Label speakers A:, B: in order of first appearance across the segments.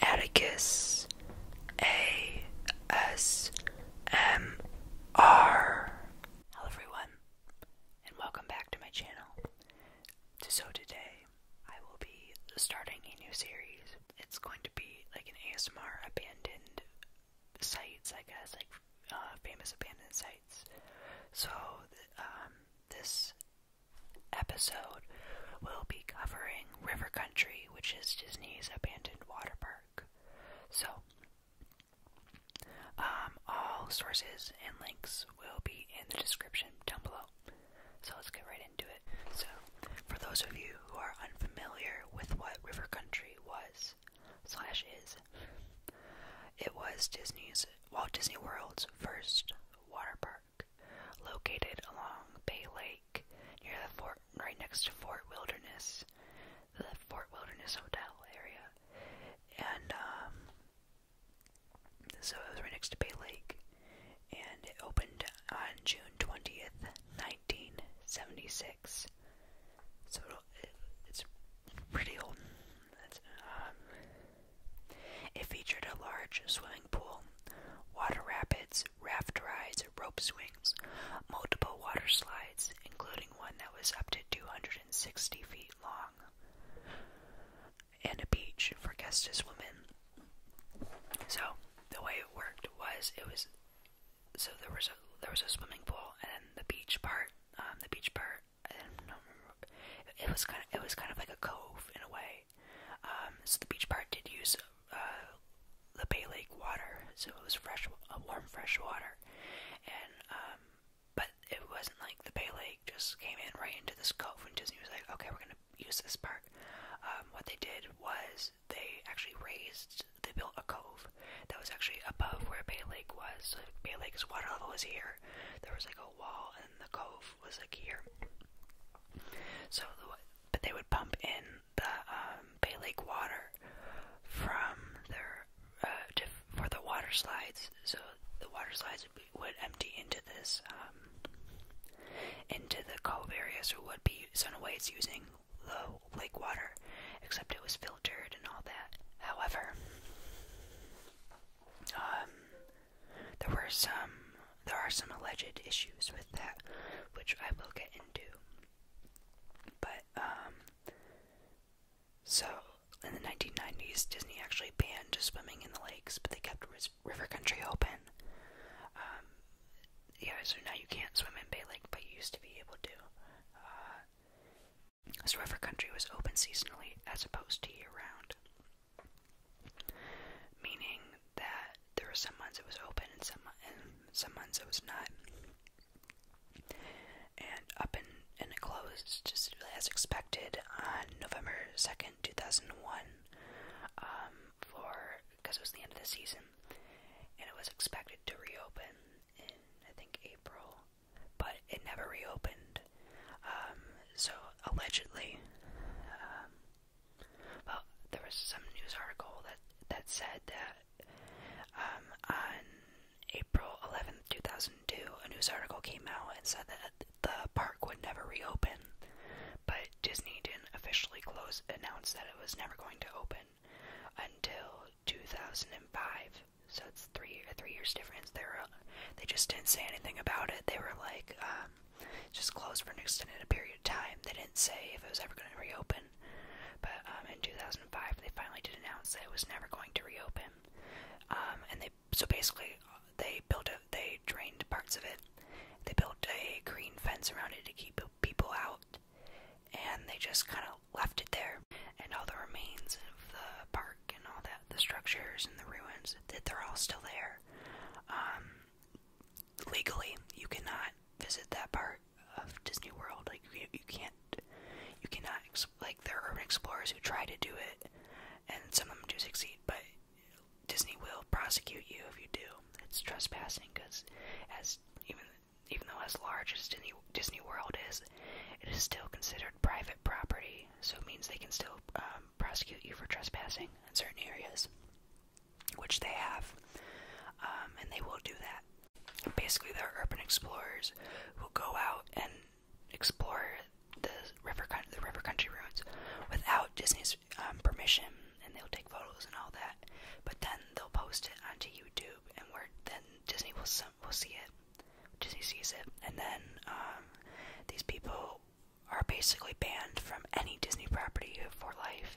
A: Atticus A S M R. Hello, everyone, and welcome back to my channel. So, today I will be starting a new series. It's going to be like an ASMR abandoned sites, I guess, like uh, famous abandoned sites. So, um, this episode, we'll be covering River Country, which is Disney's abandoned water park. So, um, all sources and links will be in the description down below. So let's get right into it. So, for those of you who are unfamiliar with what River Country was slash is, it was Disney's Walt Disney World's first water park. Park, located along Bay Lake near the fort, right next to Fort Wilderness, the Fort Wilderness Hotel area. And, um, so it was right next to Bay Lake, and it opened on June 20th, 1976. So it, it's pretty old. That's, um, it featured a large swimming pool, water rapids, raft rides, rope swings, multiple water slides, including one that was up to 260 feet long, and a beach for guests to swim in. So the way it worked was it was so there was a there was a swimming pool and then the beach part um the beach part I don't remember it was kind of it was kind of like a cove in a way um, so the beach part did use uh, the Bay Lake water, so it was fresh, uh, warm fresh water, and um, but it wasn't like the Bay Lake just came in right into this cove and Disney was like, okay, we're gonna use this park. Um, what they did was they actually raised, they built a cove that was actually above where Bay Lake was. So Bay Lake's water level was here. There was like a wall, and the cove was like here. So, but they would pump in the um, Bay Lake water from their uh, for the water slides. So the water slides would, empty into this um, into the cove area. So it would be so in using the lake water, except it was filtered and all that. However, um, there were some there are some alleged issues with that, which I will get into. But um so in the 1990s, Disney actually banned swimming in the lakes, but they kept river country open. Um, yeah, so now you can't swim in Bay Lake, but you used to be able to. Uh, so river country was open seasonally as opposed to year round meaning that there were some months it was open and some and some months it was not. And up and and it closed just as expected on November second, two thousand one, um, for because it was the end of the season, and it was expected to reopen in I think April, but it never reopened. Um, so allegedly, um, well, there was some news article that that said that um, on April 11th, 2002, a news article came out and said that the park would never reopen, but Disney didn't officially close announce that it was never going to open until 2005. So it's three three years difference. They were, they just didn't say anything about it. They were like, um, just closed for an extended period of time. They didn't say if it was ever going to reopen, but um, in 2005 they finally did announce that it was never going to reopen. Um, and they so basically uh, they built a they drained parts of it. They built a green fence around it to keep people out, and they just kind of left it there. And all the remains of the park and all that, the structures and the ruins, that they're all still there. Um, legally you cannot visit that part of Disney World. Like you, you can't, you cannot. Like there are urban explorers who try to do it, and some of them do succeed. But Disney will prosecute you if you do. It's trespassing because, as even even though as large as Disney Disney World is, it is still considered private property. So it means they can still um, prosecute you for trespassing in certain areas which they have, um, and they will do that. Basically, they're urban explorers who go out and explore the river, the river country ruins, without Disney's um, permission, and they'll take photos and all that. But then they'll post it onto YouTube, and where then Disney will will see it. Disney sees it, and then um, these people are basically banned from any Disney property for life.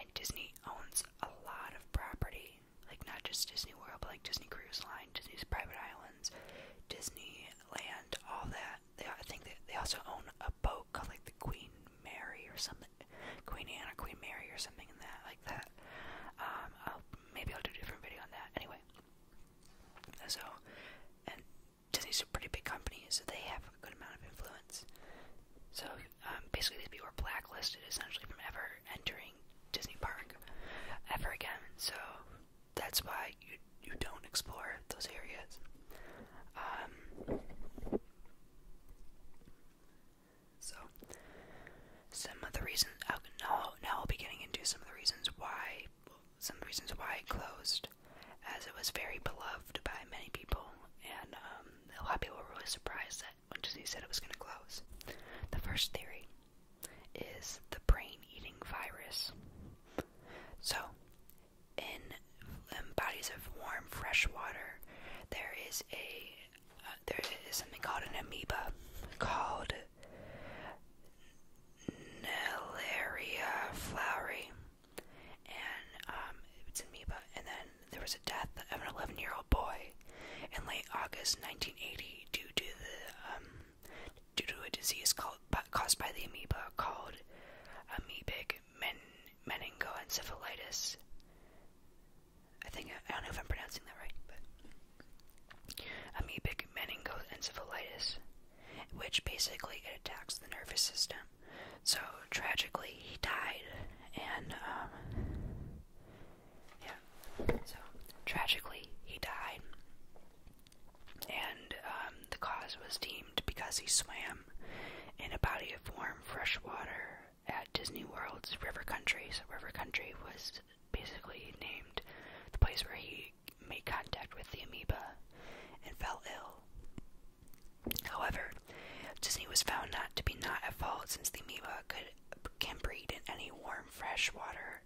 A: And Disney owns a lot of property, like not just Disney World, but like Disney Cruise Line, Disney's private islands, Disneyland, all that. They, I think they, they also own a boat called like the Queen Mary or something, Queen Anne or Queen Mary or something in that, like that. Um, maybe I'll do a different video on that. Anyway, so so these are pretty big companies, so they have a good amount of influence. So um, basically, these people were blacklisted essentially from ever entering Disney Park ever again. So that's why you you don't explore those areas. Um, so some of the reasons. Now, now I'll be getting into some of the reasons why some reasons why it closed, as it was very beloved by many people, and a lot of people were really surprised that when Disney said it was going to close. The first theory is the brain-eating virus. So, in, bodies of warm, fresh water, there is a there is something called an amoeba called Nelaria floweri and um, it's in And then there was a death of an 11 year old boy in late August 1980 due to um, due to a disease called, caused by the amoeba called amoebic men, meningoencephalitis. I think I don't know if I'm pronouncing that right, but amoebic meningoencephalitis which basically it attacks the nervous system. So tragically, he died, and um, yeah. So tragically, he died, and um, the cause was deemed because he swam in a body of warm, fresh water at Disney World's River Country. So River Country was basically named the place where he Murray made contact with the amoeba and fell ill. However, Disney was found not to be not at fault since the amoeba could can breed in any warm, fresh water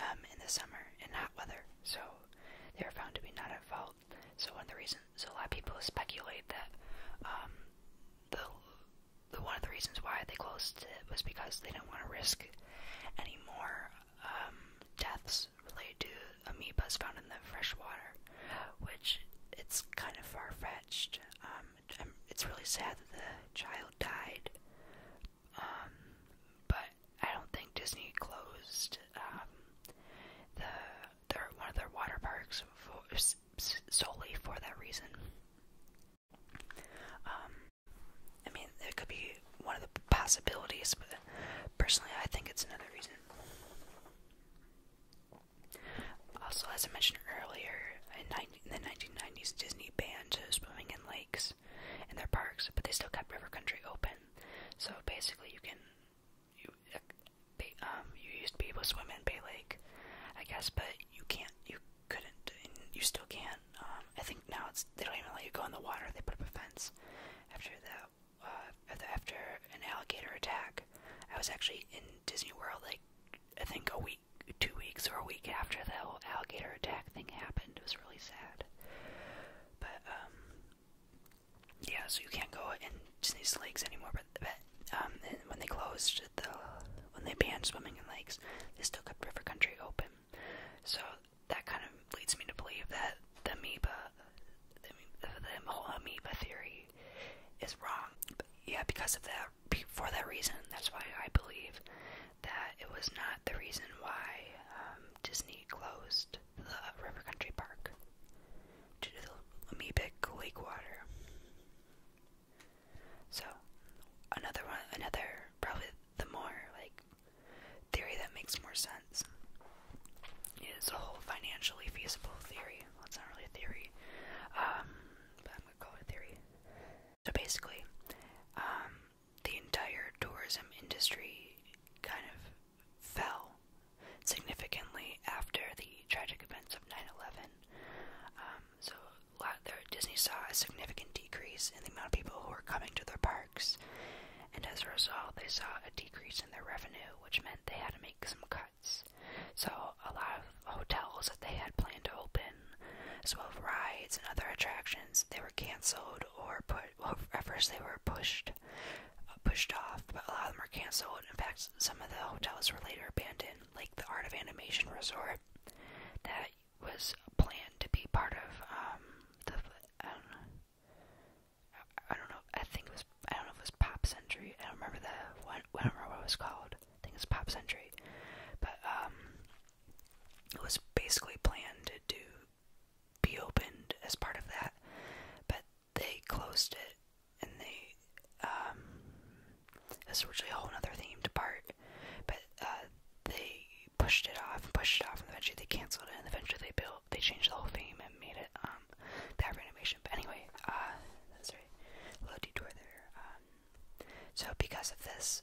A: um, in the summer and hot weather, so they were found to be not at fault. So one of the reasons, so a lot of people speculate that um, the the one of the reasons why they closed it was because they didn't want to risk any more um, deaths is related to amoebas found in the fresh water, which it's kind of far fetched. Um, it's really sad that the child died, um, but I don't think Disney closed um, the their, one of their water parks for, solely for that reason. Um, I mean, it could be one of the possibilities, but Personally, I think it's another reason. Also, as I mentioned earlier, in, 90, in the 1990s, Disney banned swimming in lakes in their parks, but they still kept river country open. So basically, you can you um you used to be able to swim in Bay Lake, I guess, but you can't you couldn't you still can't. Um, I think now it's they don't even let you go in the water. They put up a fence after that uh, after an alligator attack. I was actually in Disney World like I think a week, two weeks, or a week after that whole alligator attack thing happened. It was really sad. But um, yeah, so you can't go in Disney's lakes anymore. But, but um, when they closed the when they banned swimming in lakes, they still kept River Country open. So that kind of leads me to believe that the amoeba, the, whole amoeba theory is wrong. But yeah, because of that, for that reason, that's why I believe that it was not the reason why um, Disney closed the River Country Park due to the amoebic lake water. So, another one, another probably the more like theory that makes more sense. It is a whole financially feasible theory. it's not really a theory, um, but I'm gonna call it theory. So basically, um, the entire tourism industry kind of fell significantly after the tragic events of 9/11. Um, so a lot there, Disney saw a significant decrease in the amount of people who were coming to their parks, and as a result, they saw a decrease in their revenue, which meant they had to make some cuts. So, a lot of hotels that they had planned to open, as well as rides and other attractions, they were canceled or put. Well, at first they were pushed, uh, pushed off, but a lot of them were canceled. In fact, some of the hotels were later abandoned, like the Art of Animation Resort, that was planned to be part of um, the. I don't know, I don't know. I think it was. I don't know if it was Pop Century. I don't remember the one. I don't remember what it was called. I think it was Pop Century. But um, it was basically planned to do, be opened as part of that. But they closed it, and they um, that's originally a whole other themed part. But uh, they pushed it off and pushed it off, and eventually they canceled it, and eventually they built they changed the whole theme and made it um that renovation. But anyway, uh sorry, little detour there. Um, so because of this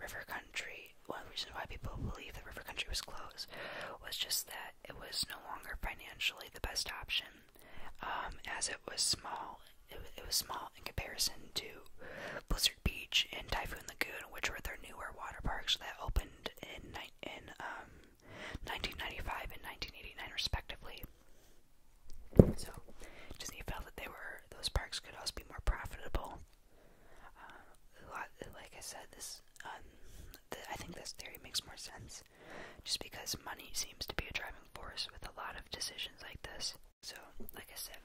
A: river country one reason why people believe that river country was closed was just that it was no longer financially the best option. Um, as it was small it, it was small in comparison to Blizzard Beach and Typhoon Lagoon, which were their newer water parks that opened in in um, 1995 and 1989, respectively. So Disney felt that they were those parks could also be more profitable. Uh, lot, like I said, this um, the, I think this theory makes more sense, just because money seems to be a driving force with a lot of decisions like this. So, like I said,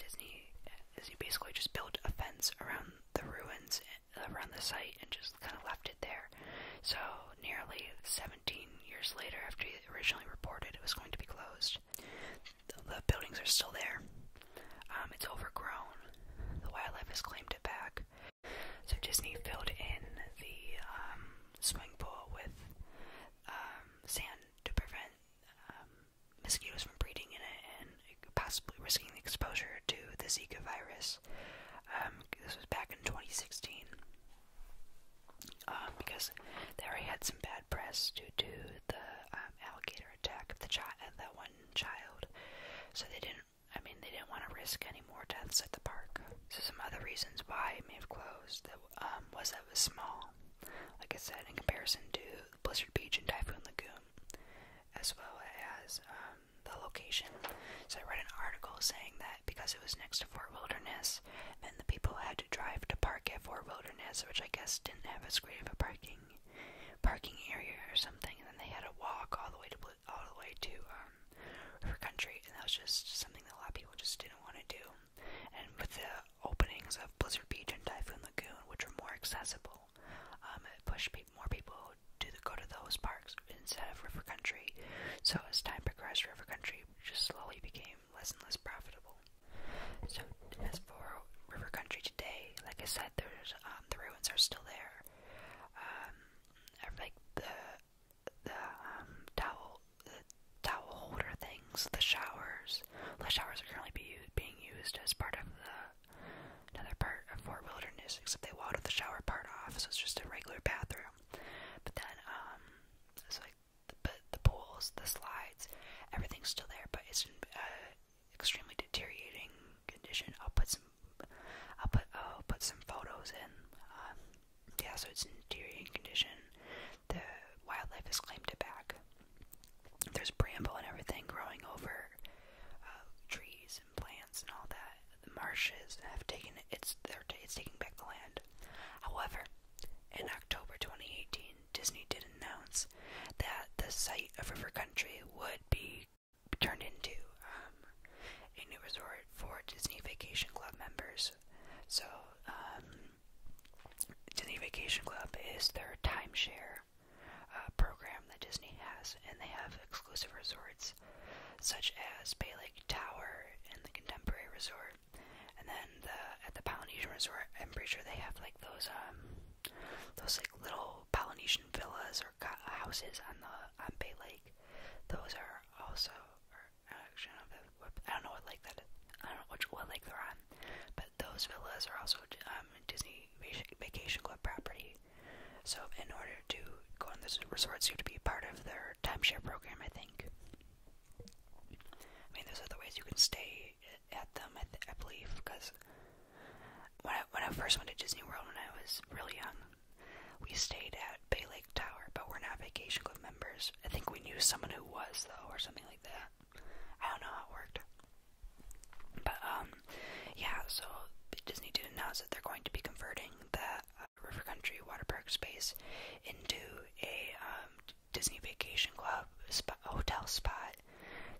A: Disney Disney basically just built a fence around the ruins around the site and just kind of left it there. So, nearly 17 years later, after he originally reported it was going to be closed, the, buildings are still there. Um, it's overgrown. The wildlife has claimed it back. So, Disney filled in the um, swimming pool with um, sand to prevent mosquitoes from breeding in it and possibly risking exposure to the Zika virus. Um, this was back in 2016. Um, because they already had some bad press due to the um, alligator attack of the child, uh, that one child. So they didn't. I mean, they didn't want to risk any more deaths at the park. So some other reasons why it may have closed that um, was that it was small. Like I said, in comparison to Blizzard Beach and Typhoon Lagoon, as well as um, the location. So I read an article saying that because it was next to Fort Wilderness, then the people had to drive to park at Fort Wilderness, which I guess didn't have as great of a parking parking area or something, and then they had to walk all the way to all the way to um, River Country, and that was just something that a lot of people just didn't want to do. And with the openings of Blizzard Beach and Typhoon Lagoon, which were more accessible, people, um, push pe more people to the, go to those parks instead of river country. So as time progressed, river country just slowly became less and less profitable. So as for river country today, like I said, there's um, the ruins are still there. Um, like the the um, towel the towel holder things, the showers. The showers are currently be, being used as part of the another part of Fort Wilderness, except they walled the shower part off, so it's just a regular bathroom. But then, um, it's like the, but the pools, the slides, everything's still there, but it's in uh, extremely deteriorating condition. I'll put some, I'll put, I'll put some photos in. Um, yeah, so it's in deteriorating condition. The wildlife has claimed it back. There's bramble and everything growing over uh, trees and plants and all that. The marshes have taken it's t it's taking back the land. However, in October 2018, Disney did announce that the site of River Country would be turned into um, a new resort for Disney Vacation Club members. So, um, Disney Vacation Club is their timeshare uh, program that Disney has, and they have exclusive resorts such as Bay Lake Tower and the Contemporary Resort, and then the, at the Polynesian Resort, I'm pretty sure they have like those um those like little Polynesian villas or houses on the on Bay Lake. Those are also, or actually, I don't know, what, I don't know what lake that is. I don't know which what lake they're on, but those villas are also um, Disney Vacation Club property country. So, in order to go on those resorts, you have to be part of their timeshare program, I think. I mean, there's other ways you can stay at them, I, th I believe, because when I, when I first went to Disney World when I was really young, we stayed at Bay Lake Tower, but we're not Vacation Club members. I think we knew someone who was, though, or something like that. I don't know how it worked. But um, yeah, so Disney did announce that they're going to be converting the uh, River Country Water Park space into a um, Disney Vacation Club spa hotel spot.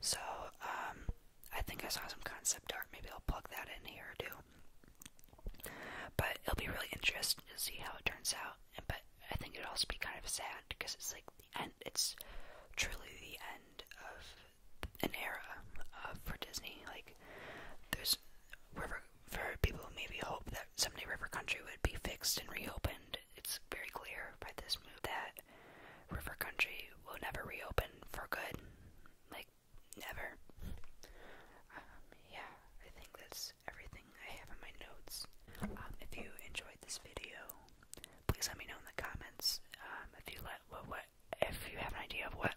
A: So um, I think I saw some concept art. Maybe I'll plug that in here too. But it'll be really interesting to see how it turns out. But I think it'll also be kind of sad because it's like the end. It's truly the end of an era uh, for Disney. Like, there's river for people who maybe hope that someday River Country would be fixed and reopened. It's very clear by this move that River Country will never reopen for good. Like, never. Um, yeah, I think that's everything I have in my notes. Um, if you enjoyed this video, please let me know in the comments um, if you let what what if you have an idea of what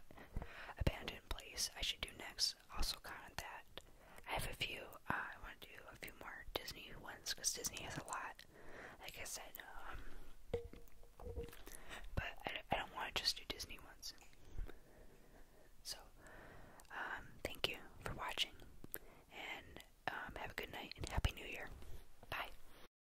A: abandoned place I should do next, also comment that. I have a few, uh, I want to do a few more Disney ones, because Disney has a lot, like I said, um, but I, don't want to just do Disney ones. So, um, thank you for watching, and um, have a good night, and Happy New Year. Bye.